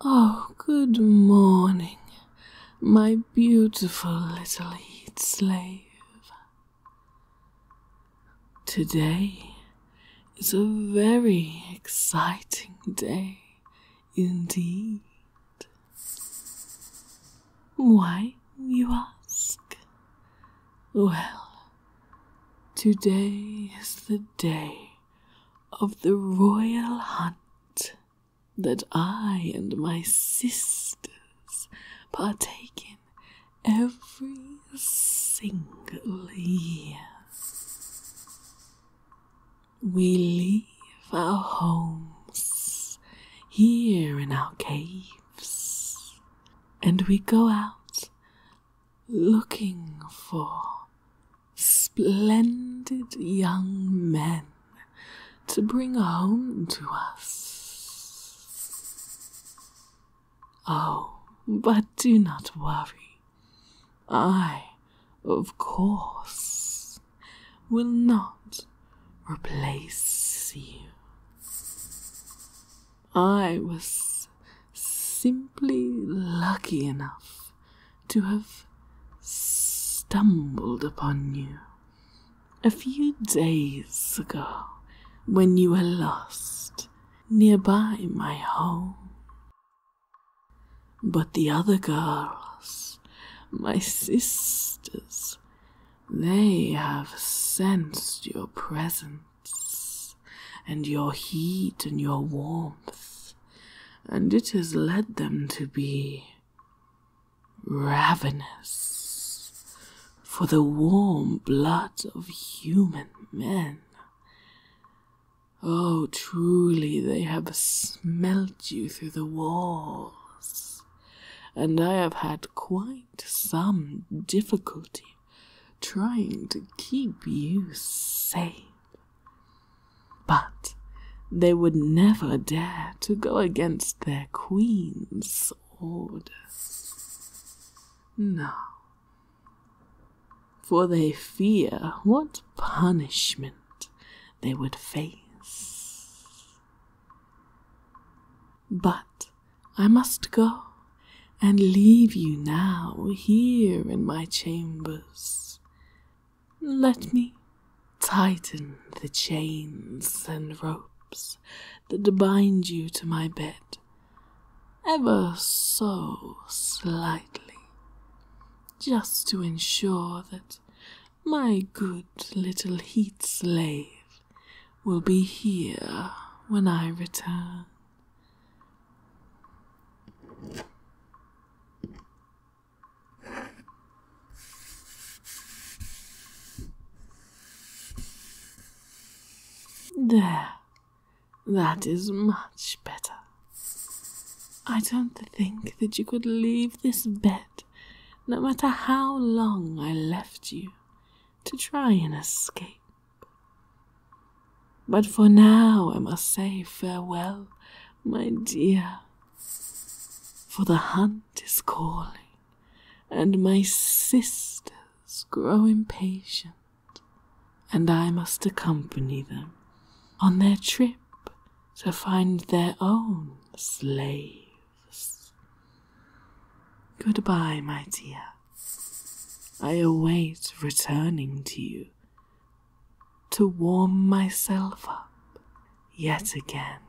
Oh, good morning, my beautiful little heat slave. Today is a very exciting day indeed. Why, you ask? Well, Today is the day of the royal hunt that I and my sisters partake in every single year. We leave our homes here in our caves and we go out looking for splendid young men to bring home to us. Oh, but do not worry. I, of course, will not replace you. I was simply lucky enough to have stumbled upon you a few days ago when you were lost nearby my home. But the other girls, my sisters, they have sensed your presence and your heat and your warmth, and it has led them to be ravenous for the warm blood of human men. Oh, truly, they have smelt you through the walls, and I have had quite some difficulty trying to keep you safe. But they would never dare to go against their queen's orders. No. For they fear what punishment they would face. But I must go and leave you now here in my chambers. Let me tighten the chains and ropes that bind you to my bed ever so slightly, just to ensure that my good little heat slave will be here when I return. There. That is much better. I don't think that you could leave this bed, no matter how long I left you, to try and escape. But for now I must say farewell, my dear, for the hunt is calling, and my sisters grow impatient, and I must accompany them on their trip to find their own slaves. Goodbye, my dear. I await returning to you to warm myself up yet again.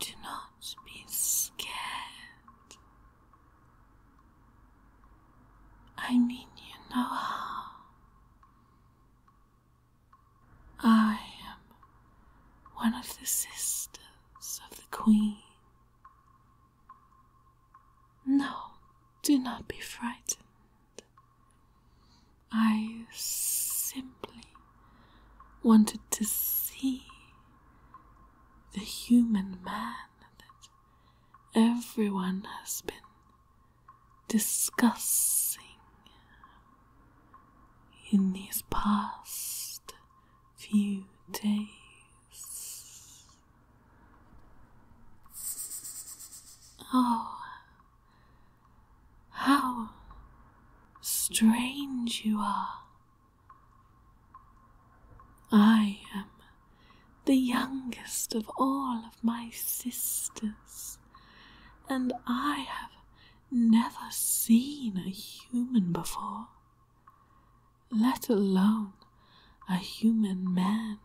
Do not be scared. I mean, you know how. I am one of the sisters of the Queen. No, do not be frightened. I simply wanted to see the human man that everyone has been discussing in these past few days. Oh, how strange you are! I am the youngest of all of my sisters, and I have never seen a human before, let alone a human man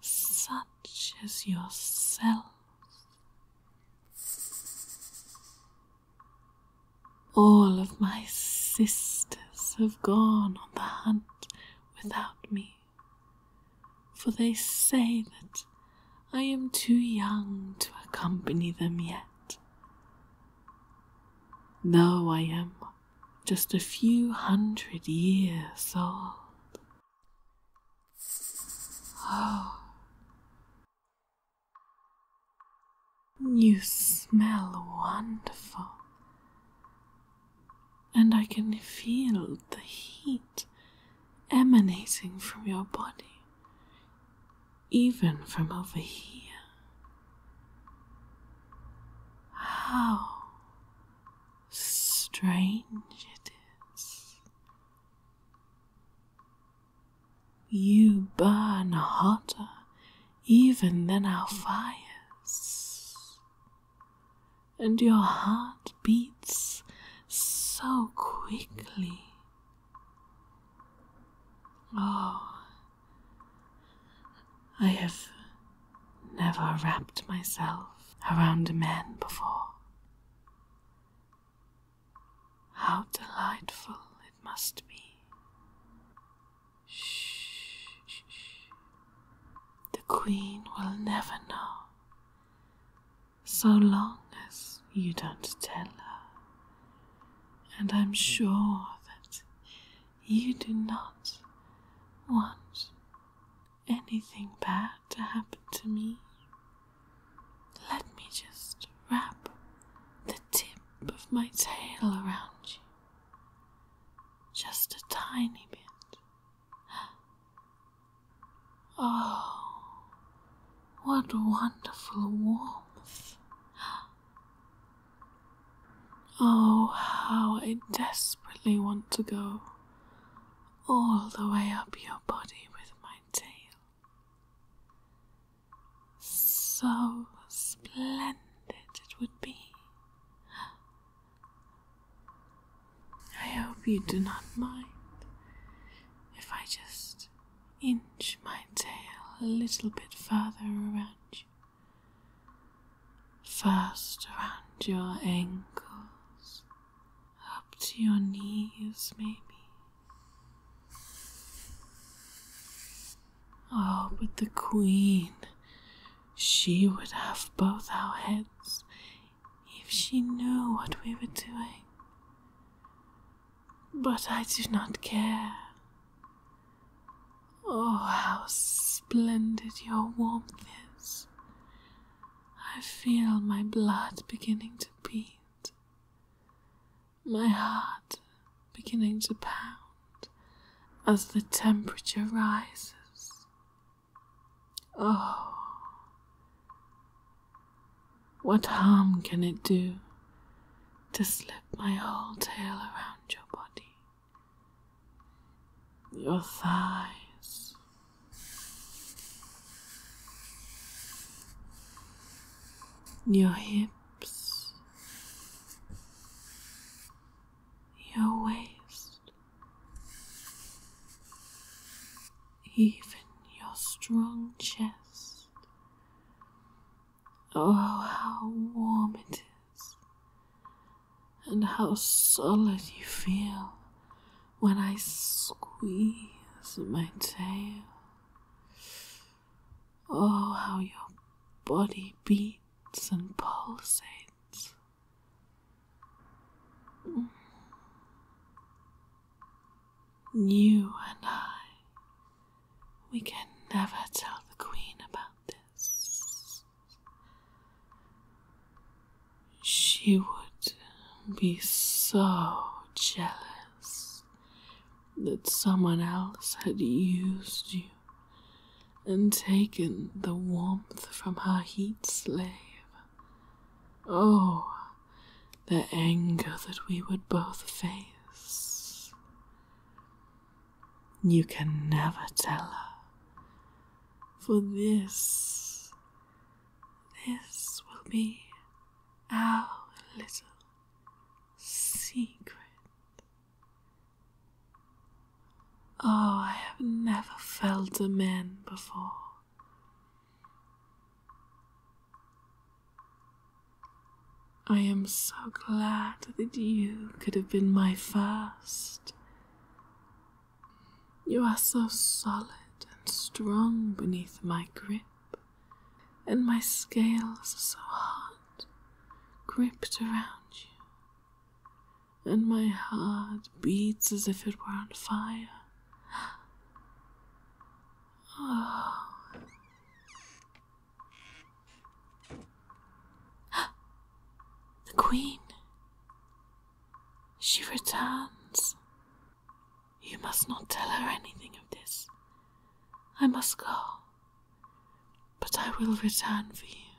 such as yourself. All of my sisters have gone on the hunt without me, for they say that I am too young to accompany them yet. Though I am just a few hundred years old. Oh, you smell wonderful and I can feel the heat emanating from your body, even from over here. How strange it is. You burn hotter even than our fires and your heart beats so quickly. Oh, I have never wrapped myself around a man before. How delightful it must be. Shh, The Queen will never know so long as you don't tell her. And I'm sure that you do not want anything bad to happen to me. Let me just wrap the tip of my tail around you. Just a tiny bit. Oh, what wonderful warmth. Oh, how I desperately want to go all the way up your body with my tail. So splendid it would be I hope you do not mind if I just inch my tail a little bit further around you. First around your ankles, up to your knees, maybe. Oh, but the Queen, she would have both our heads if she knew what we were doing. But I do not care. Oh, how splendid your warmth is. I feel my blood beginning to beat, my heart beginning to pound as the temperature rises. Oh, what harm can it do to slip my whole tail around your body, your thighs? Your hips, your waist, even your strong chest. Oh, how warm it is, and how solid you feel when I squeeze my tail. Oh, how your body beats and pulsates. You and I, we can never tell the Queen about this. She would be so jealous that someone else had used you and taken the warmth from her heat slave. Oh, the anger that we would both face. You can never tell her, for this, this will be our little secret. Oh, I have never felt a man before. I am so glad that you could have been my first. You are so solid and strong beneath my grip, and my scales are so hard gripped around you, and my heart beats as if it were on fire. Oh. The Queen. She returns. You must not tell her anything of this. I must go. But I will return for you,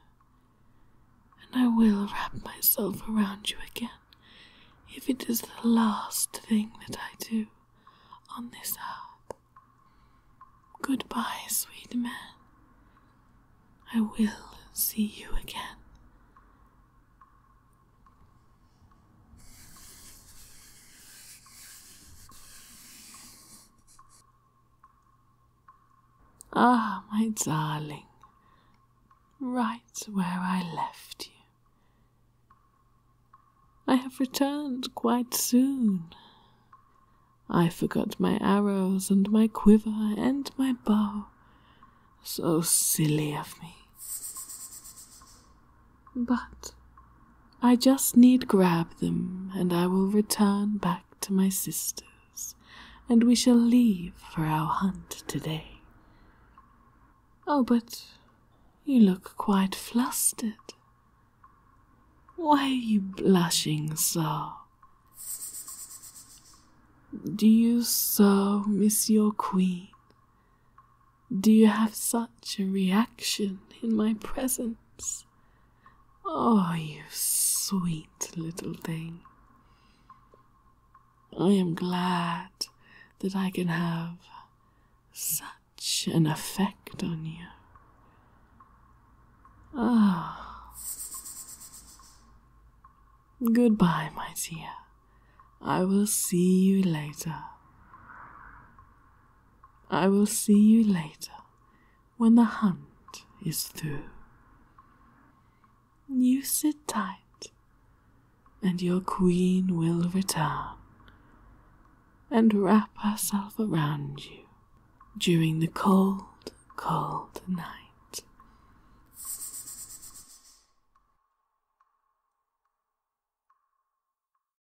and I will wrap myself around you again if it is the last thing that I do on this earth. Goodbye, sweet man. I will see you again. Ah, my darling, right where I left you. I have returned quite soon. I forgot my arrows and my quiver and my bow. So silly of me. But I just need grab them, and I will return back to my sisters, and we shall leave for our hunt today. Oh, but you look quite flustered. Why are you blushing so? Do you so miss your queen? Do you have such a reaction in my presence? Oh, you sweet little thing. I am glad that I can have such an effect on you. Ah. Oh. Goodbye, my dear. I will see you later. I will see you later when the hunt is through. You sit tight, and your queen will return and wrap herself around you during the cold, cold night.